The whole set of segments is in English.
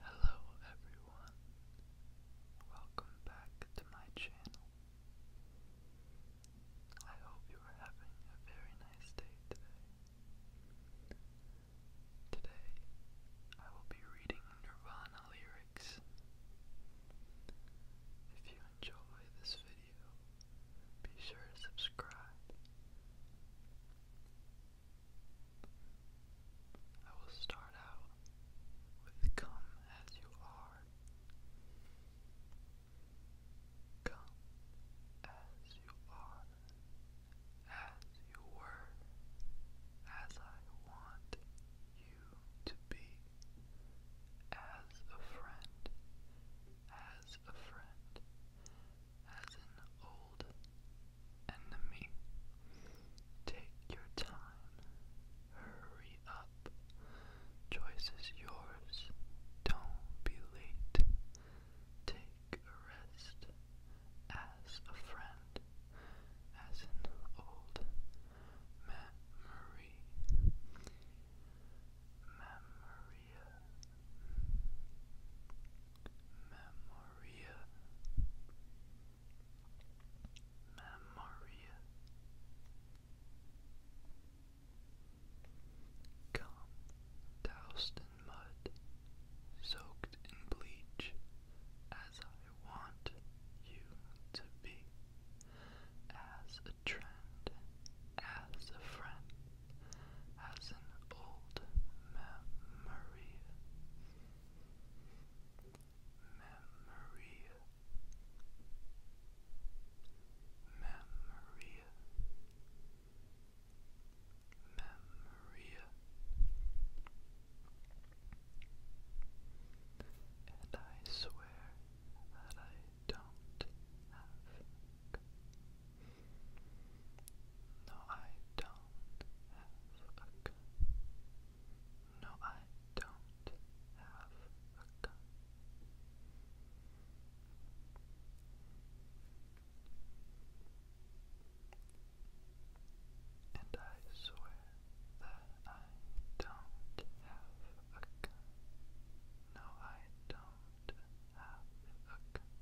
Hello everyone, welcome back to my channel. I hope you are having a very nice day today. Today, I will be reading Nirvana lyrics. If you enjoy this video, be sure to subscribe. I will start out with Come As You Are. Come as you are, as you were, as I want you to be, as a friend as a friend, as an old enemy. Take your time, hurry up. Choice is yours, don't be late. Take a rest as a friend, as an old memory. Memory. Memoria Memoria Come doused in mud, soaked in bleach, as I want you to be as a trend, as a friend, as an old memory. Memory. Memory. Memory. And I swear that I don't have a No, I don't have a gun. No, I don't have a gun. And I swear that I don't have a gun. No, I don't have a cum.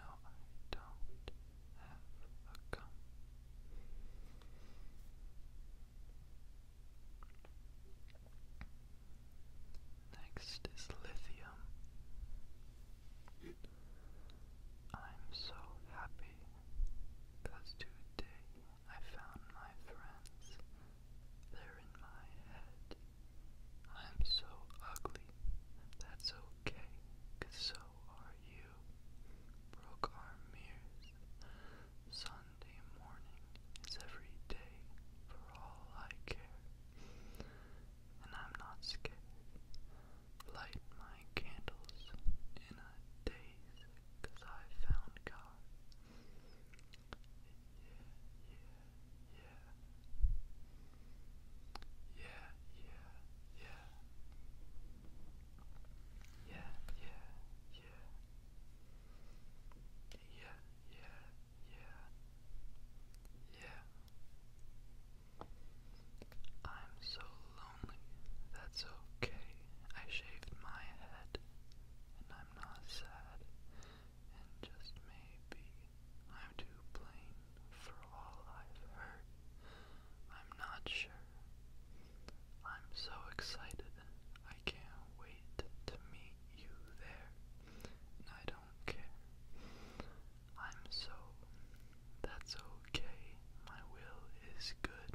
No, I don't have a cum. Next is lithium. I'm so happy because today I found my friends. They're in my head. I'm so ugly. That's okay, so are you. Broke our mirrors. Sunday morning is every day for all I care. And I'm not scared. Light my candles in a daze, I found God. Yeah, yeah, yeah. Yeah, yeah, yeah. Yeah, yeah, yeah. Yeah. I'm so lonely. That's okay. I shaved my head I'm not sad, and just maybe I'm too plain for all I've heard. I'm not sure. I'm so excited. I can't wait to meet you there, I don't care. I'm so. That's okay. My will is good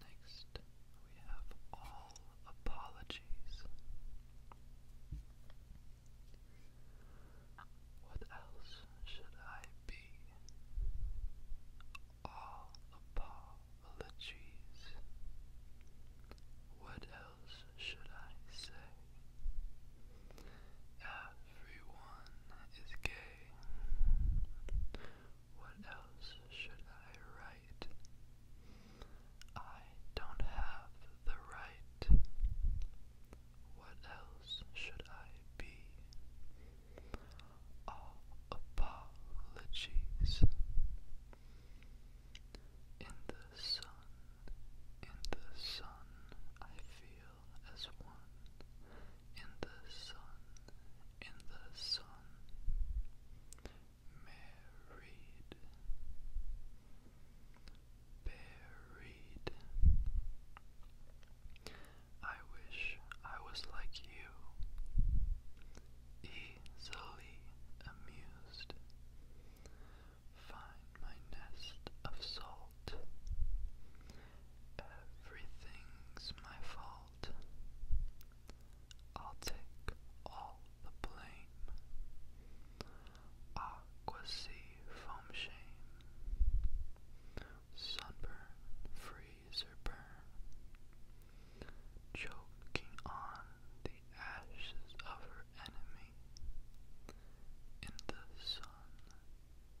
Next, we have all apologies. What else should I be? All apologies. What else should I say? As Everyone is gay. What else should I write? I don't have the right. What else should I be? All apologies. In the sun, in the sun, I feel as one in the sun, in the sun, married, buried. I wish I was like you, easily amused. Find my nest of souls. Everything's my fault. I'll take all the blame. Aqua sea shame. Sunburn, freezer burn. Choking on the ashes of her enemy. In the sun,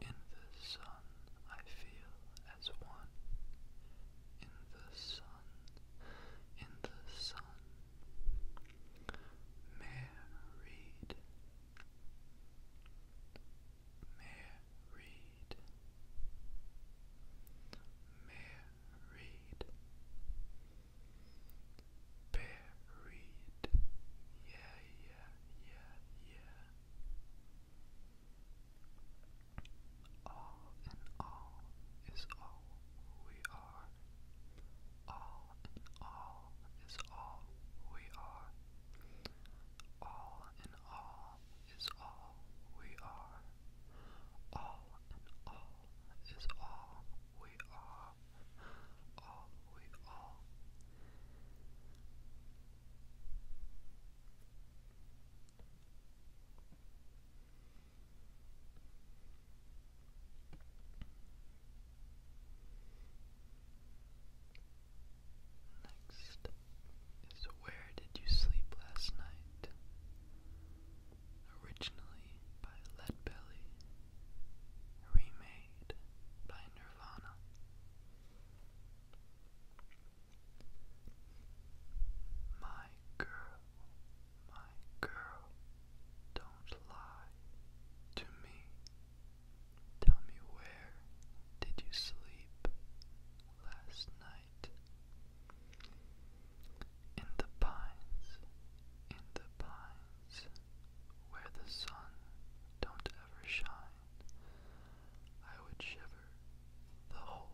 in the sun I feel as one. In the sun, in the sun. Married. Married. Married. Bear. Married. Yeah, yeah, yeah, yeah. All in all is all we are. All in all is all we are. All in all is all we are. All in all is all we are all, Next is where did you sleep last night? Originally by Leadbelly remade by Nirvana. My girl, my girl, don't lie to me. Tell me where did you sleep last night? In the pines, in the pines, where the sun don't ever shine, I would shiver the whole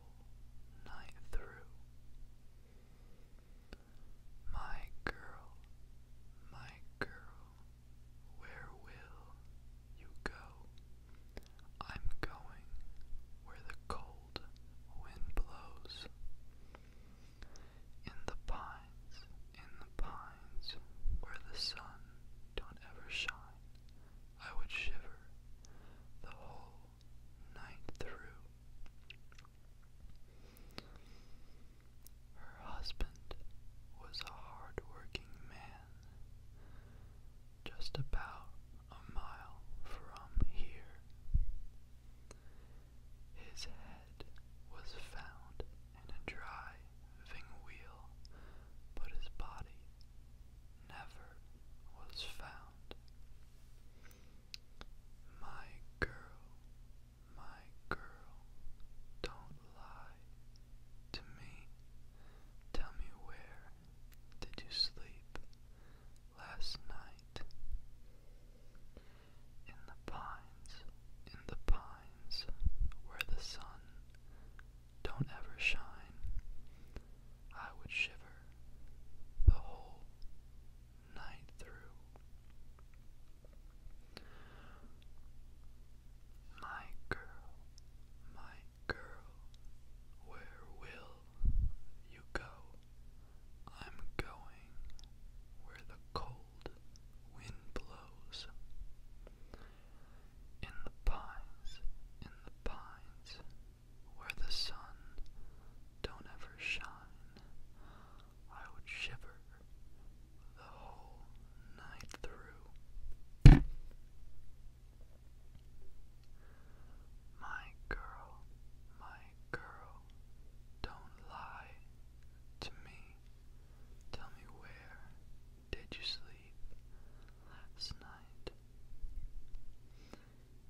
night through. My girl, my girl, where will you go? I'm going where the cold wind blows. In the pines, in the pines, where the sun don't ever shine, I would shiver the whole night through. Her husband was a hard-working man, just about a mile from here. His head was found in a driving wheel, but his body never was found. My girl, my girl, don't lie to me. Tell me where did you sleep last night? In the pines, in the pines, where the sun don't ever shine, I would shiver the whole night through. My girl, my girl, where will you go? I'm going where the cold wind blows. In the pines, in the pines, where the sun don't ever shine, I would shiver the whole night through. My girl, my girl, don't lie to me. Tell me where did you sleep last night?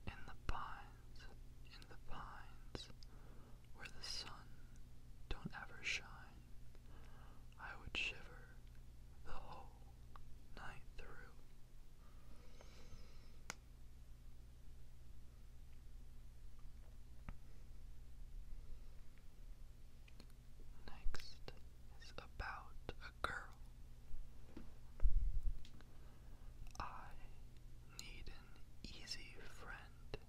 In the pines, in the pines, where the sun don't ever shine, I would shiver the whole night through. Next is about a girl. I need an easy friend.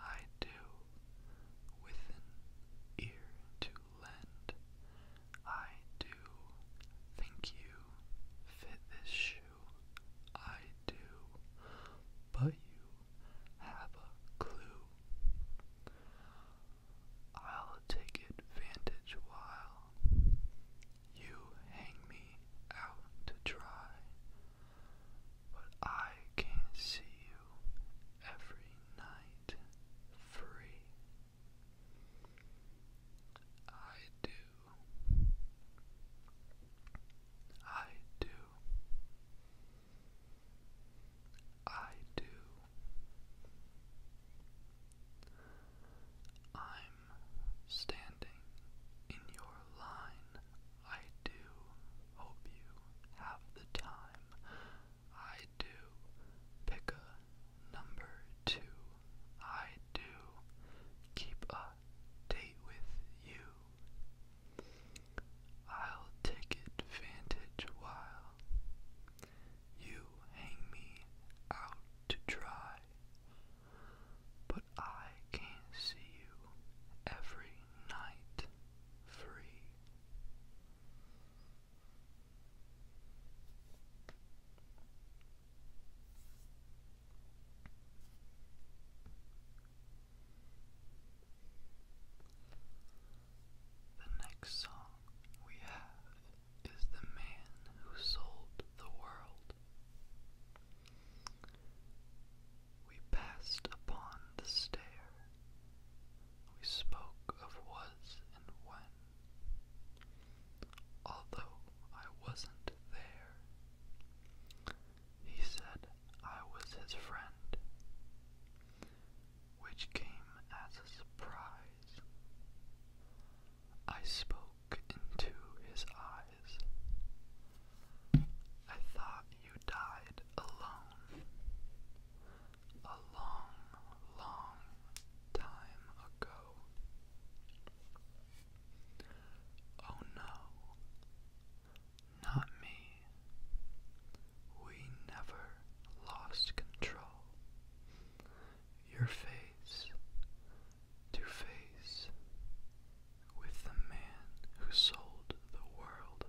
I do, with ear to lend. I do, think you fit this shoe. I do, but you have a clue. I'll take advantage while you hang me out to dry, but I can't see you every night free. I do I do. I do. I'm standing in your line. I do hope you have the time. I do pick a number two. I do keep a date with you. I'll take advantage while you hang me out to dry, but I can't see you every night free. The next song we have is The Man Who Sold the World. We passed upon the stair. We spoke of was and when. Although I wasn't there, he said I was his friend, which came as a surprise. I spoke into his eyes. I thought you died alone a long, long time ago. Oh no, not me. We never lost control. Your face to face with the man who sold the world.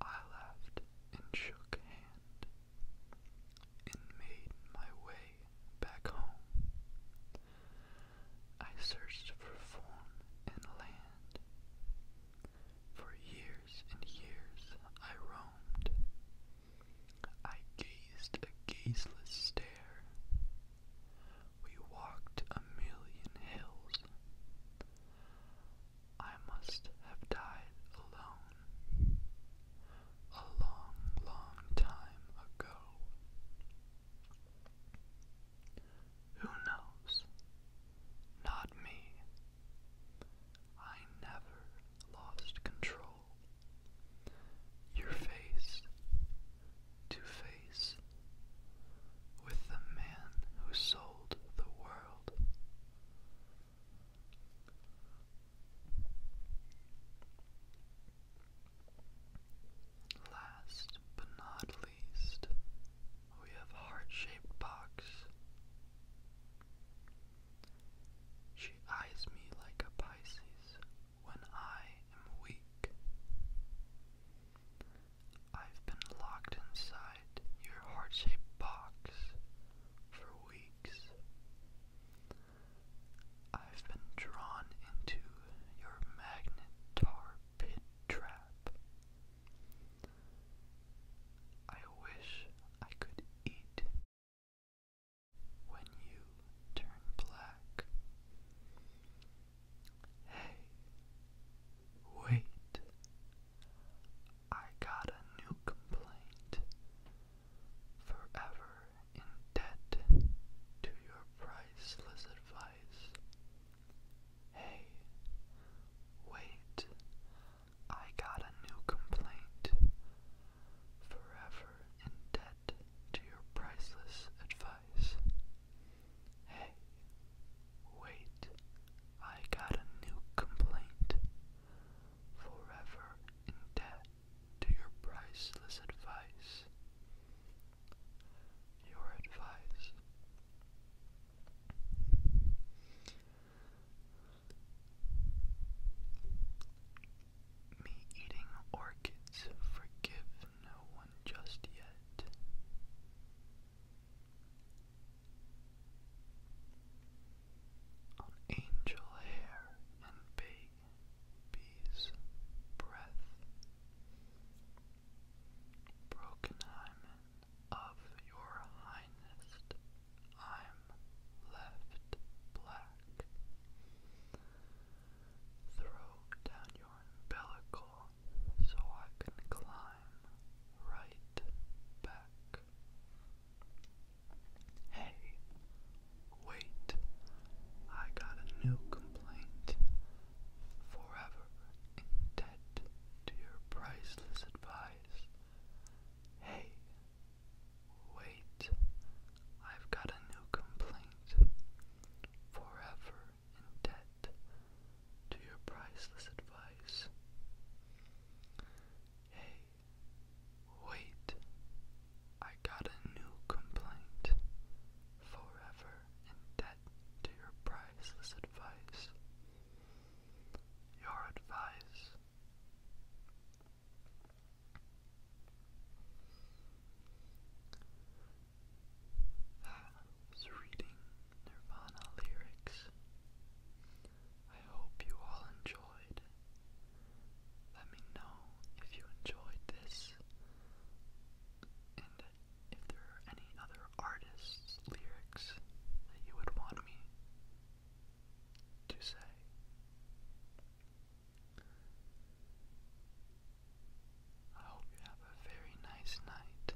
I laughed and shook hand and made my way back home. I searched for form and land. For years and years I roamed. I gazed a gazeless stare. We walked a million hills. I must have died alone a long, long time ago. Who knows? Not me. I never lost control. Your face to face with the man who sold the world. Last but not least, we have heart-shaped box. She eyes me like a Pisces when I am weak. I've been locked inside your heart-shaped box for weeks. I've been drawn into your magnet tar pit trap. I wish I could eat when you turn black. Hey, wait. I got a new complaint forever in debt to your priceless advice. Hey, wait, I got a new complaint. Forever in debt to your priceless advice. Hey, wait, I got a new complaint forever in debt to your priceless advice. Your advice. Me eating orchids, forgive no one just yet on angel hair and big bees' breath. Broken hymen of your highness, I'm left black. Throw down your umbilical so I can climb right back. Hey, wait, I got a new complaint. Forever in debt to your priceless advice. Hey, wait, I've got a new complaint. Forever in debt to your priceless advice. Hey, Wait, I got a new complaint. Forever in debt to your priceless advice. Your advice. That was reading Nirvana lyrics. I hope you all enjoyed. Let me know if you enjoyed this and if there are any other artists' lyrics that you would want me to say. I hope you have a very nice night.